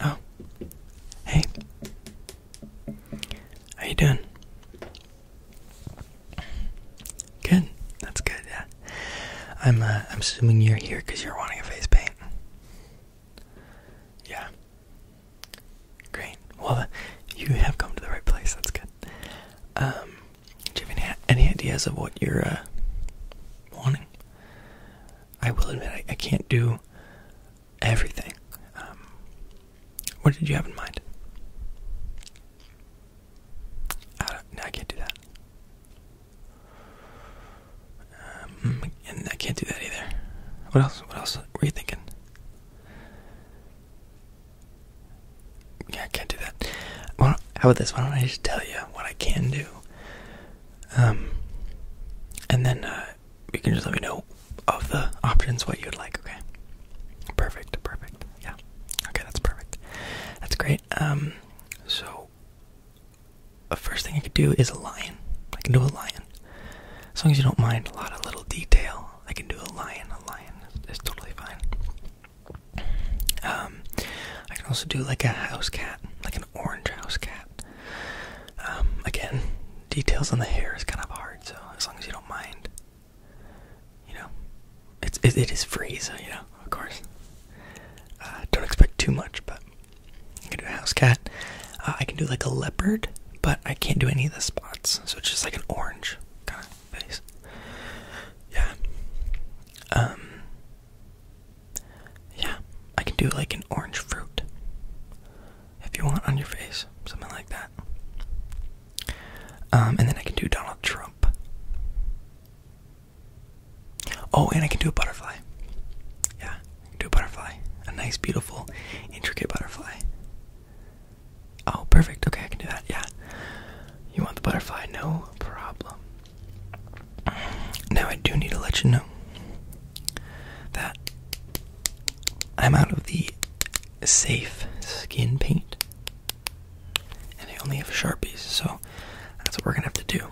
Oh, hey, how you doing? Good, that's good. Yeah, I'm. Uh, I'm assuming you're here because you're wanting a face paint. Yeah. Great. Well, uh, you have come to the right place. That's good. Um, do you have any, any ideas of what you're uh, wanting? I will admit, I, can't do everything. Um, what did you have in mind? I can't do that. Um, and I can't do that either. What else? What else were you thinking? Yeah, I can't do that. Well, how about this? Why don't I just tell you what I can do? Um, and then uh, you can just let me know of the options what you'd like. Okay. Perfect. Perfect. Yeah. Okay, that's perfect. That's great. Um, so the first thing I could do is a lion. I can do a lion, as long as you don't mind a lot of little detail. I can do a lion. A lion is, totally fine. Um, I can also do like a house cat, like an orange house cat. Um, again, details on the hair is kind of hard, so as long as you don't mind, you know, it's it is free, so you know, of course. Uh, don't expect too much, but I can do a house cat. Uh, I can do like a leopard, but I can't do any of the spots, so it's just like an orange kind of face. Yeah. Um. Yeah, I can do like an orange fruit if you want on your face, something like that. Um, and then I can do Donald Trump. Oh, and I can do a butterfly. Yeah, I can do a butterfly. A nice, beautiful, intricate butterfly. Oh, perfect. Okay, I can do that. Yeah. You want the butterfly? No problem. Now, I do need to let you know that I'm out of the safe skin paint. And I only have sharpies, so that's what we're gonna have to do.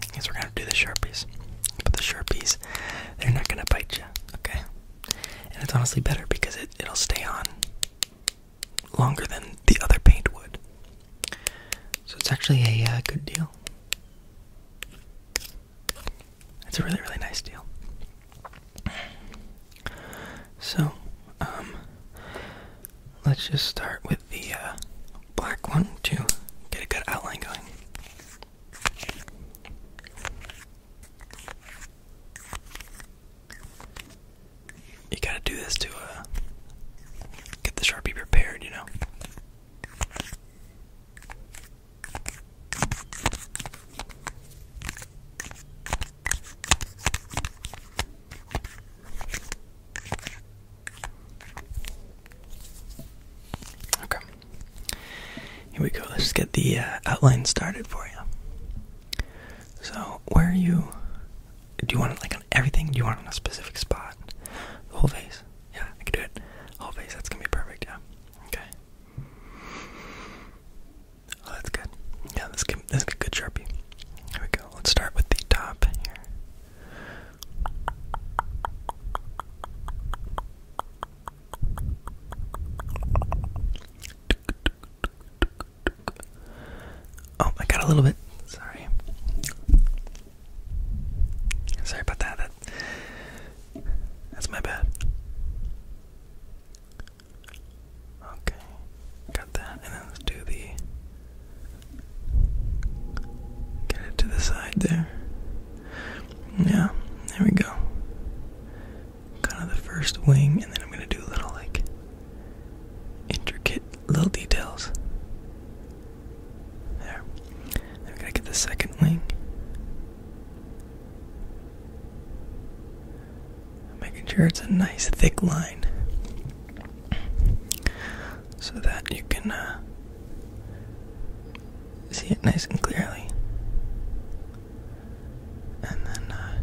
Because we're gonna do the sharpies, but the sharpies, they're not gonna bite you, okay? And it's honestly better because it, will stay on longer than the other paint would. So it's actually a uh, good deal. It's a really, really nice deal. So, um, let's just start with the uh, black one to get a good outline going. You gotta do this to uh, get the Sharpie prepared, you know. Okay. Here we go. Let's get the uh, outline started for you. So, where are you? Do you want it like on everything? Do you want on a specific spot? The whole face? Yeah, I can do it. Whole face. That's gonna be perfect. Yeah. Okay. Oh, that's good. Yeah, that's good. That's a good sharpie. Here we go. Let's start with the top here. Oh, I got a little bit. Sorry. Sorry about that. that's my bad. Okay, got that, and then let's do the get it to the side there. Yeah, there we go kind of the first wing, and then I'm gonna do little like intricate little details. There. I'm gonna get the second wing. making sure it's a nice thick line so that you can uh, see it nice and clearly and then uh,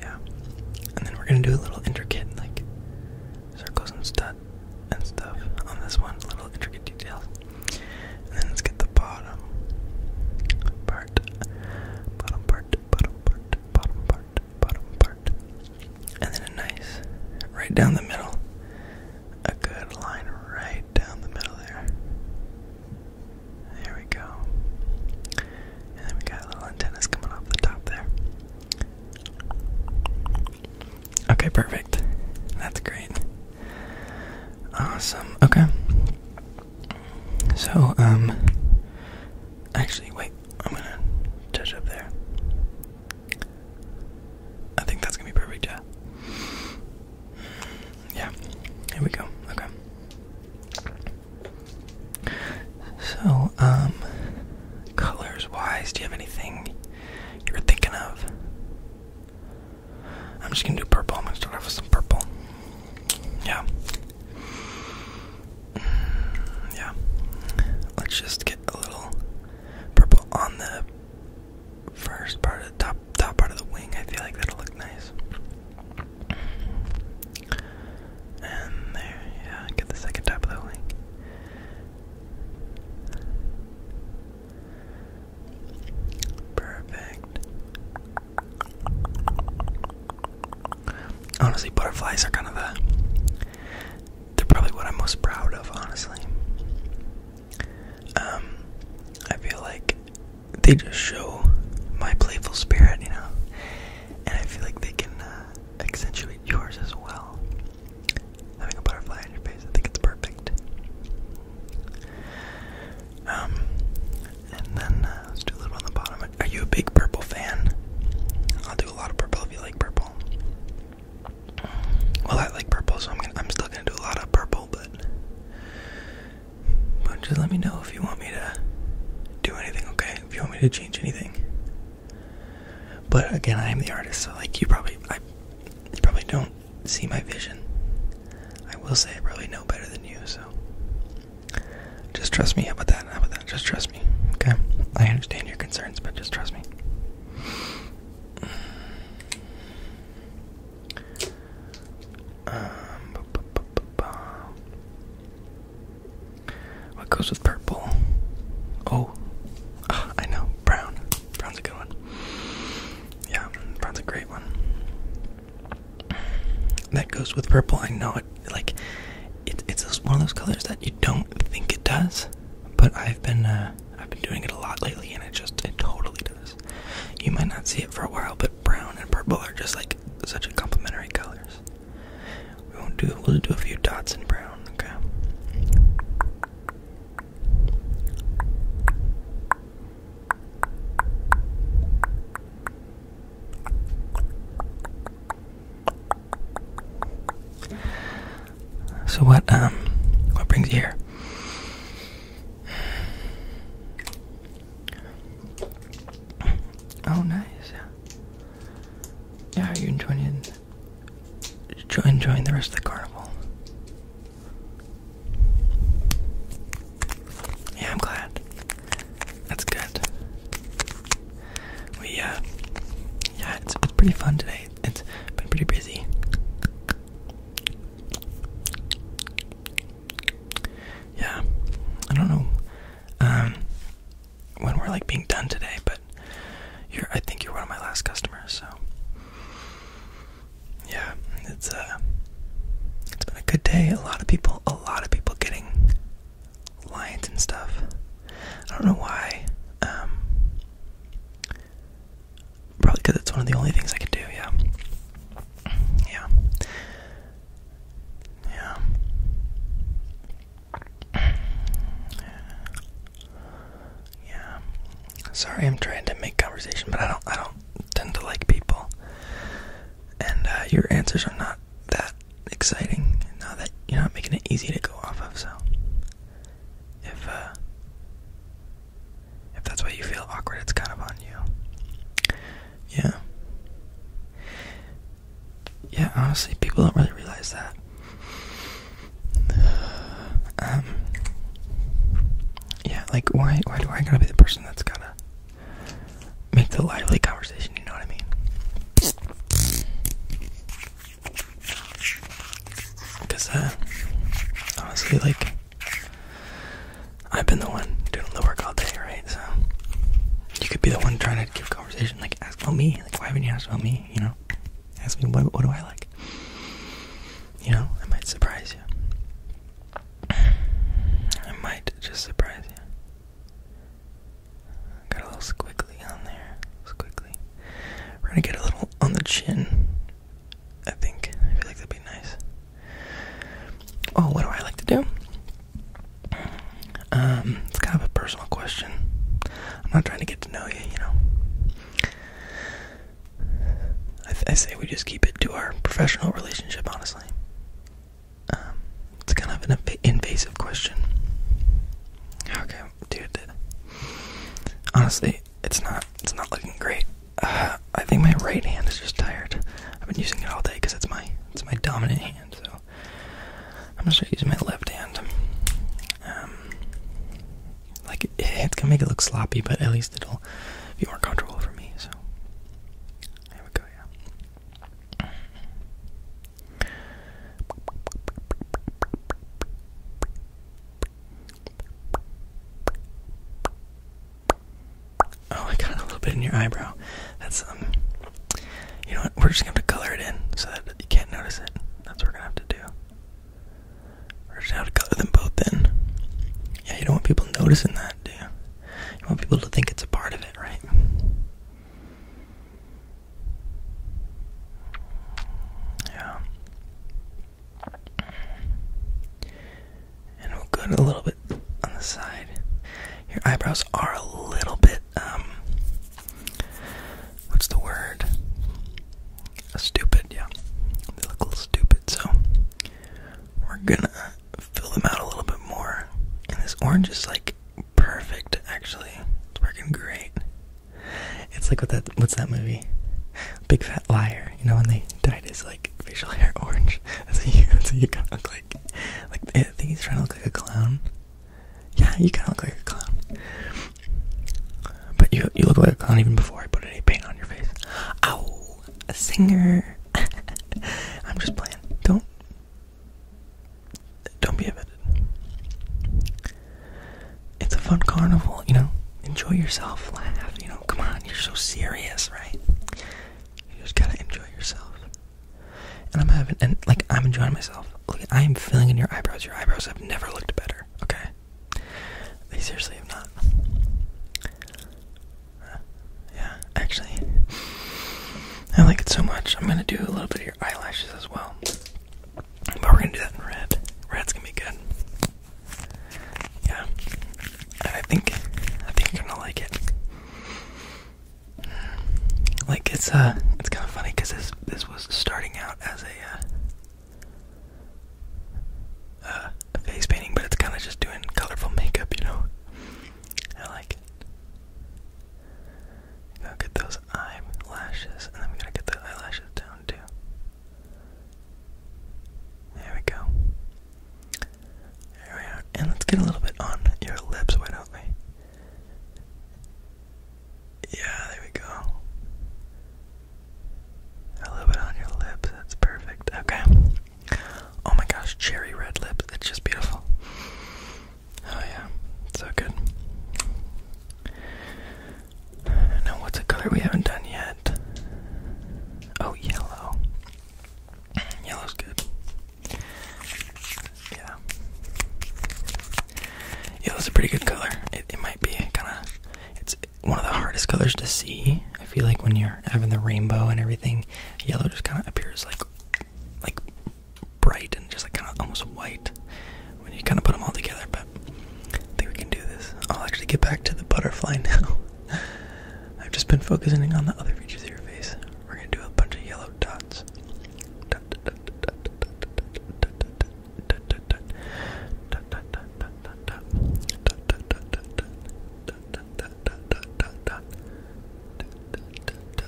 yeah, and then we're gonna do a little intricate like circles and studs and stuff on this one, little intricate details. And then let's get the bottom part, bottom part, bottom part, bottom part, bottom part, and then a nice right down the middle a good line right down the middle there. There we go. And then we got little antennas coming off the top there. Okay, perfect. That's great. Awesome. Okay. So, um, actually, wait, I'm gonna touch up there. I think that's gonna be perfect, yeah. Yeah, here we go. Okay. So, um, colors wise, do you have anything you're thinking of? I'm just gonna do purple. I'm gonna start off with some purple. Yeah. Mm, yeah. Let's just get a little purple on the first part of the top top part of the wing. I feel like that'll look nice. And there, yeah, get the second top of the wing. Perfect. Honestly, butterflies are kind of the. They're probably what I'm most proud of, honestly um, I feel like they just show my playful spirit, you know, and I feel like they can uh, accentuate yours as well. Having a butterfly on your face, I think it's perfect. Um, and then uh, let's do a little on the bottom. Are you a big purple fan? I'll do a lot of purple if you like purple. Well, I like purple, so I'm still gonna do a lot of purple, but just let me know if you want me to do anything, okay? If you want me to change anything. But again, I am the artist, so like you probably you probably don't see my vision. I will say I probably know better than you, so just trust me. about that? about that? Just trust me. Okay? I understand your concerns, but just trust me. Um, what goes with purple? Oh, ah, I know. Brown. Brown's a good one. Yeah, brown's a great one. That goes with purple. I know it. Like, it, it's one of those colors that you don't think it does, but I've been uh, I've been doing it a lot lately and it just it totally does. You might not see it for a while, but brown and purple are just like such a complementary colors. We won't do we'll do a few dots in brown, okay. So what um what brings you here? Oh nice. Yeah, are you enjoying enjoying the rest of the carnival? Yeah, I'm glad. That's good. We uh yeah, it's, it's pretty fun today it's been pretty busy. Yeah, I don't know um, when we're like being done today, but I think you're one of my last customers, so yeah, it's uh, it's been a good day. A lot of people, a lot of people getting lines and stuff. I don't know why. Um, Probably because it's one of the only things I can do, yeah. Yeah. Yeah. Yeah. Sorry I'm trying to make conversation, but I don't I don't tend to like people. And uh, your answers are not that exciting now that you're not making it easy to go off of, so if uh, if that's why you feel awkward, it's kind of on you. Yeah. Yeah, honestly, people don't really realize that. Um. Yeah, like why? Why do I gotta be the person that's gotta make the lively conversation? You know what I mean? Cause that, uh, honestly, like, I've been the one doing the work all day, right? So you could be the one trying to give conversation, like, ask about me, like, why haven't you asked about me? You know, ask me what what do I like? You know, I might surprise you. I might just surprise you. Got a little squiggly on there. Squiggly. We're gonna get a little on the chin. I think. I feel like that'd be nice. Oh, what do I like to do? Um, it's kind of a personal question. I'm not trying to get to know you, you know. I, I say we just keep it to our professional relationship, honestly. Um, it's kind of an invasive question. Okay, dude. Honestly, it's not. It's not looking great. Uh, I think my right hand is just tired. I've been using it all day because it's my it's my dominant hand. So I'm gonna use my left hand. Um, like it's gonna make it look sloppy, but at least it'll be more comfortable for me. So there we go. Yeah. Oh, I got a little bit in your eyebrow. That's um. You know what? We're just gonna color it in so that you can't notice it. That's what we're gonna have to do. We're just going to color them both in. Yeah, you don't want people noticing that, do you? You want people to think it's a part of it, right? Yeah. And we'll go a little bit on the side. Your eyebrows are a little bit, um, what's the word? Stupid, yeah. They look a little stupid, so we're gonna fill them out a little bit more. And this orange is like perfect, actually. It's working great. It's like what that what's that movie? Big Fat Liar. You know when they died? his like facial hair orange? That's what you that's what you kinda look like. Like I think he's trying to look like a clown. Yeah, you kinda look like a clown. But you you look like a clown even before I put any paint on your face. Ow! A singer I'm just playing. Don't don't be offended. It's a fun carnival, you know. Enjoy yourself, laugh, you know. Come on, you're so serious, right? You just gotta enjoy yourself. And I'm having, and like, I'm enjoying myself. Look, I am feeling in your eyebrows. Your eyebrows have never looked better, okay? They seriously have not. Uh, yeah, actually, I like it so much. I'm gonna do a little bit here eyelashes as well. But we're gonna do that in red. Red's gonna be good. Yeah. And I think I think you're gonna like it. Like it's uh it's kind of funny because this this was starting out as a uh, a face painting, but it's kind of just doing colorful makeup, you know. I like it. I'm gonna get those eyelashes, and then we are going to get the eyelashes down too. There we go. There we are. And let's get a little bit on your lips, why don't we? Yeah, there we go. A little bit on your lips, that's perfect. Okay. Oh my gosh, cherry red lips, it's just beautiful. Oh yeah, so good. Now what's a color we haven't done yet? Oh, yellow. Yellow's good. Yeah. Yellow's a pretty good color. It, it might be kind of, it's one of the hardest colors to see. I feel like when you're having the rainbow and everything, yellow just kind of appears like like bright and just like kind of almost white when you kind of put them all together. But I think we can do this. I'll actually get back to the butterfly now. I've just been focusing on the other features of your face. We're gonna do a bunch of yellow dots.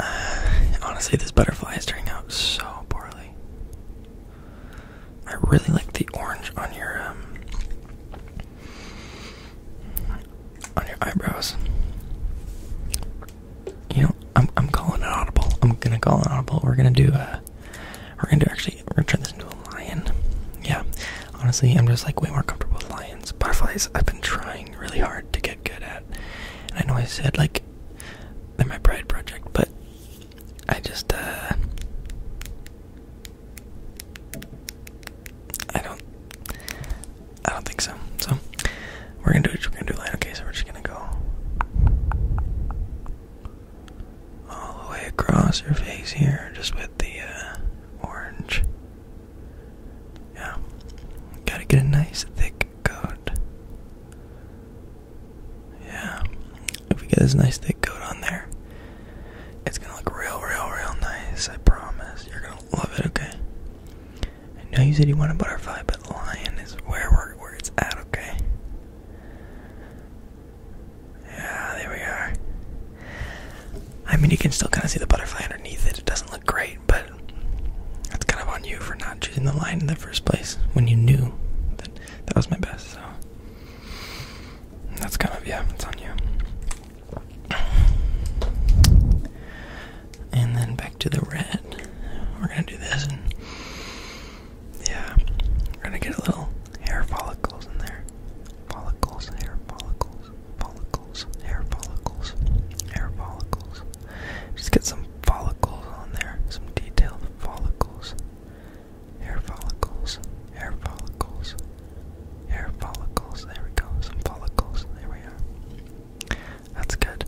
Honestly, this butterfly is turning out so poorly. I really like the orange on your um, on your eyebrows. You know, I'm I'm calling it audible. I'm gonna call it audible. We're gonna do a, uh, we're gonna do actually we're gonna turn this into a lion. Yeah, honestly, I'm just like way more comfortable with lions. Butterflies. I've been trying really hard to get good at. I know I said like they're my pride project, but I just uh I don't I don't think so. So we're gonna do We're gonna do line. Okay, so we're just gonna go all the way across your face here, just with the uh, orange. Yeah. Gotta get a nice thick coat. Yeah. If we get this nice thick coat on there, it's gonna look real, real, real nice. I promise. You're gonna love it, okay? Now you said you wanted a butterfly, but lion is where we're, where it's at, okay? Yeah, there we are. I mean, you can still kind of see the butterfly underneath it. It doesn't look great, but that's kind of on you for not choosing the line in the first place when you knew that that was my best. So that's kind of yeah, it's on you. And then back to the red. We're gonna do this, and yeah, we're gonna get a little hair follicles in there. Follicles, hair follicles, follicles follicles, hair follicles, hair follicles. Just get some follicles on there, some detailed follicles, hair follicles, hair follicles, hair follicles. There we go, some follicles. There we are. That's good.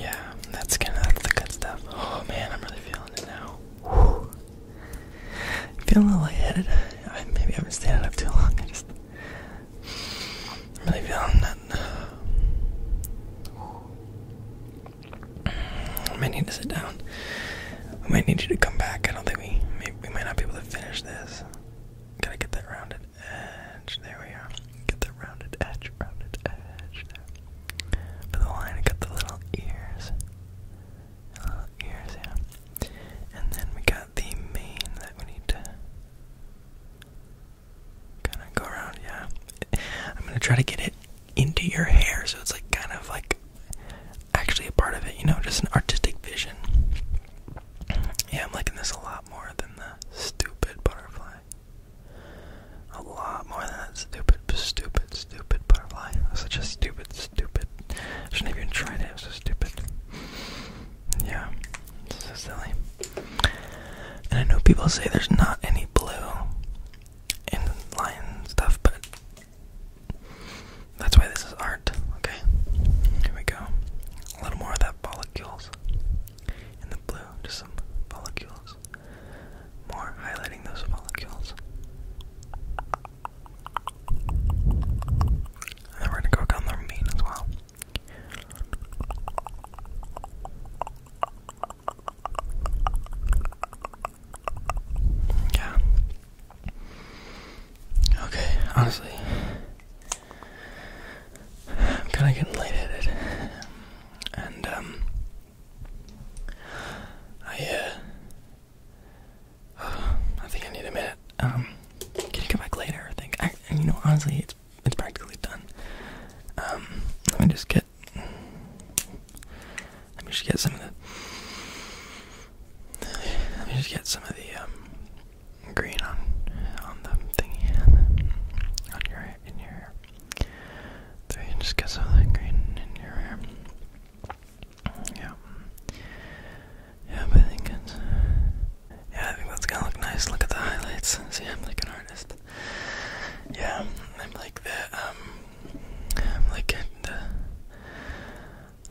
Yeah, that's gonna that's the good stuff. Oh man, I'm really feeling it now. Feeling a little lightheaded. I maybe I haven't stayed up too long. I just I'm really feeling that. I might need to sit down. I might need you to come back. I don't think we may, we might not be able to finish this. Gotta get that rounded edge. There we are. Get that rounded edge. Rounded edge. For the line, I got the little ears. Uh, ears, yeah. And then we got the mane that we need to kind of go around, yeah. I'm gonna try to get it into your hair, so it's like kind of like actually a part of it, you know, just an artistic vision. Yeah, I'm liking this a lot more than the stupid butterfly. A lot more than that stupid, stupid, stupid butterfly. Such a stupid, stupid. I shouldn't even try it. It was so stupid. Yeah, so silly. And I know people say there's not any blue in line stuff, but that's why this is art. Okay, here we go. A little more of that molecules in the blue, just some molecules. More highlighting those molecules then we're gonna cook on the meat as well. Yeah. Okay, honestly. I'm kinda getting light headed. And um I uh I think I need a minute. Um, can you come back later? I think. I, you know, honestly, it's it's practically done. Um, let me just get. Let me just get some of the. Let me just get some of the um, green on on the thingy on your in your hair. There, you just get some of that green in your hair. Yeah. Yeah, but I think it's, yeah, I think that's gonna look nice. Look at the highlights. See, I'm like an artist. Yeah, I'm like that. Um, I'm like it.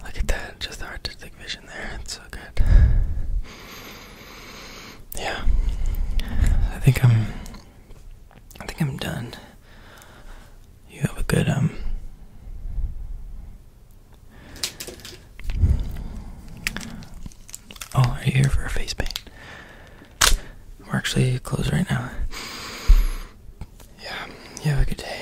look at that. Just the artistic vision there. It's so good. Yeah, I think I'm. I think I'm done you have a good um Oh, are you here for a face paint? We're actually closed right now. Yeah, you have a good day.